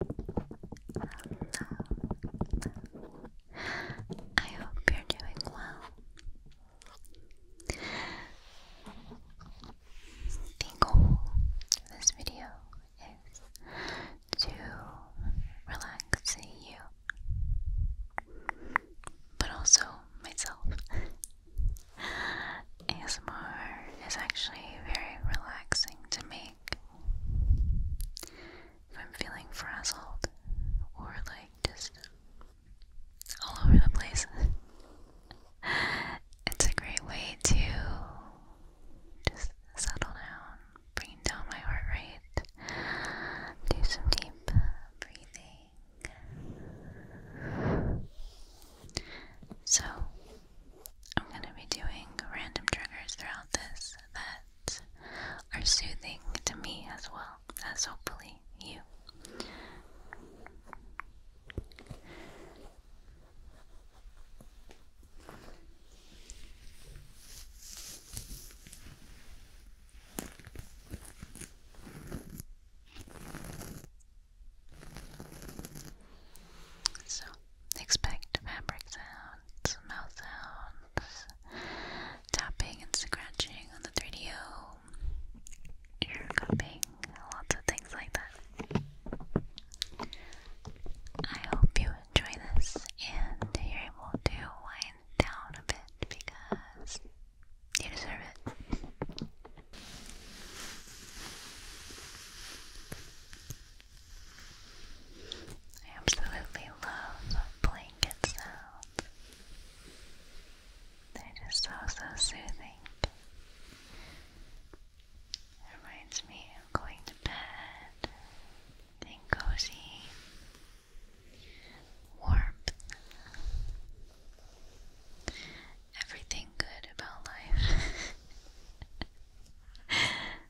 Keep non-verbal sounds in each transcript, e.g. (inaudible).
I hope you're doing well. The goal of this video is to relax you, but also myself. ASMR is actually very relaxing to me if I'm feeling frazzled or like just all over the place. (laughs) it's a great way to just settle down, bring down my heart rate, do some deep breathing. So, I'm going to be doing random triggers throughout this that are soothing to me as well as hopefully you. So, Expect fabric sounds, mouth sounds, tapping and scratching on the 3DO, ear cupping, lots of things like that. I hope you enjoy this and you're able to wind down a bit because you deserve it. I absolutely love the blanket sounds. they just so, so soothing. reminds me of going to bed, being cozy, warmth, everything good about life. (laughs)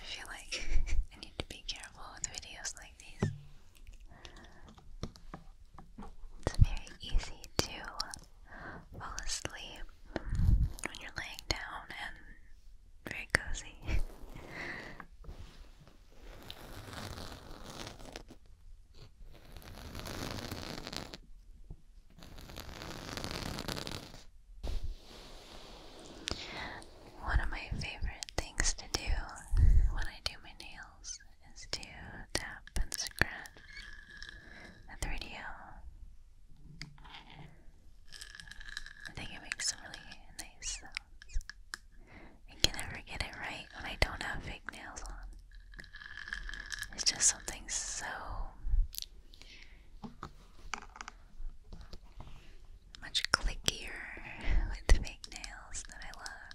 I feel like (laughs) I need to be careful with videos like these. It's very easy to fall asleep when you're laying down and very cozy. One of my favorite things to do when I do my nails is to tap and scratch at the radio. I think it makes some really nice sounds. I can never get it right when I don't have fake nails on. It's just something so much clickier with fake nails that I love.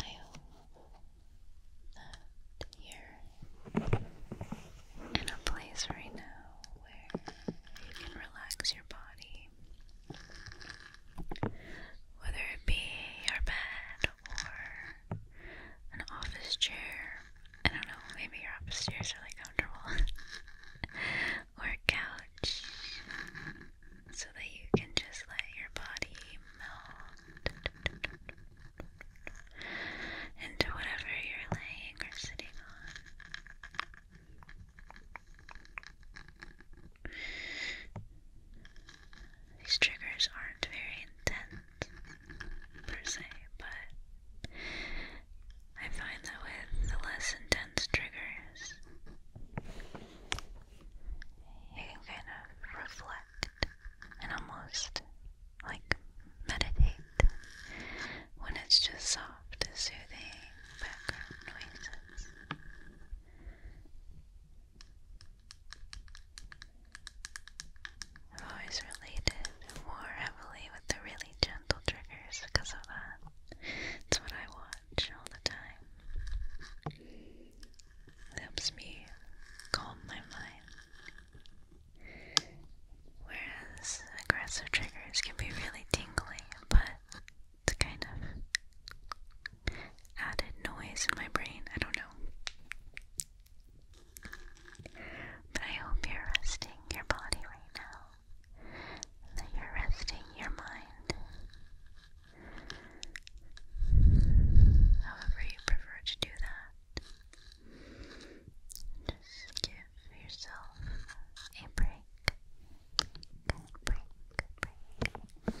I hope that you're in a place right now where you can relax your body, whether it be your bed or an office chair I don't know, maybe your office really comfortable. (laughs) or a couch. So that you can just let your body melt into whatever you're laying or sitting on. These triggers aren't very intense per se, but I find that with the less intense triggers, you can kind of reflect and almost like meditate when it's just soft, soothing background noises. I've always related more heavily with the really gentle triggers because of that. It's what I watch all the time. It helps me calm my mind. Whereas aggressive triggers can be really tingling, but it's kind of added noise in my brain. I don't know. But I hope you're resting your body right now, that you're resting your mind. However, you prefer to do that. Just give yourself a Break, break, break.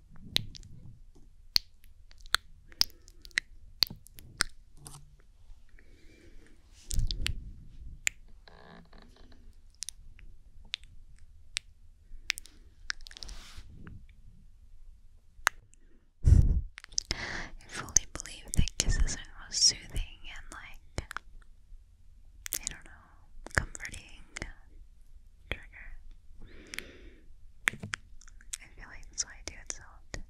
I fully believe that kisses are most soothing and like I don't know comforting trigger. I feel like that's why I do it so often.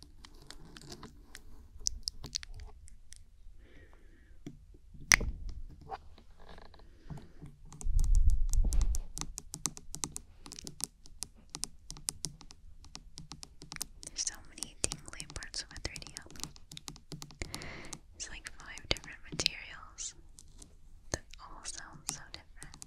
There's so many dingy parts of a 3D It's like five different materials that all sound so different.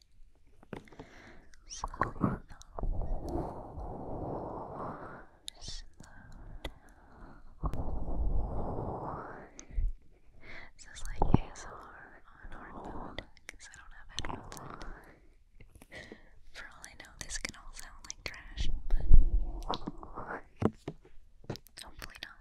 Slow down. This is like ASR on hard because I don't have headphones For all I know, this can all sound like trash, but hopefully not.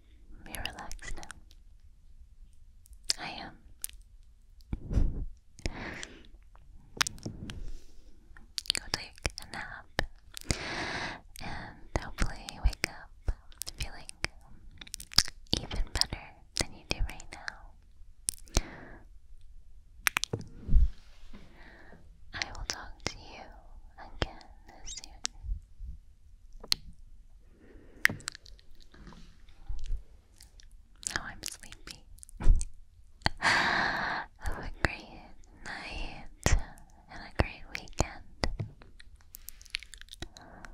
You're relaxed now. I am. Go take a nap and hopefully wake up feeling even better than you do right now. I will talk to you again soon. Now I'm sleepy. (laughs) Have a great night and a great weekend. Bye.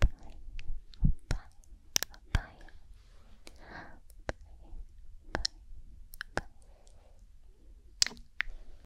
Bye. Bye. Bye. Bye. Bye.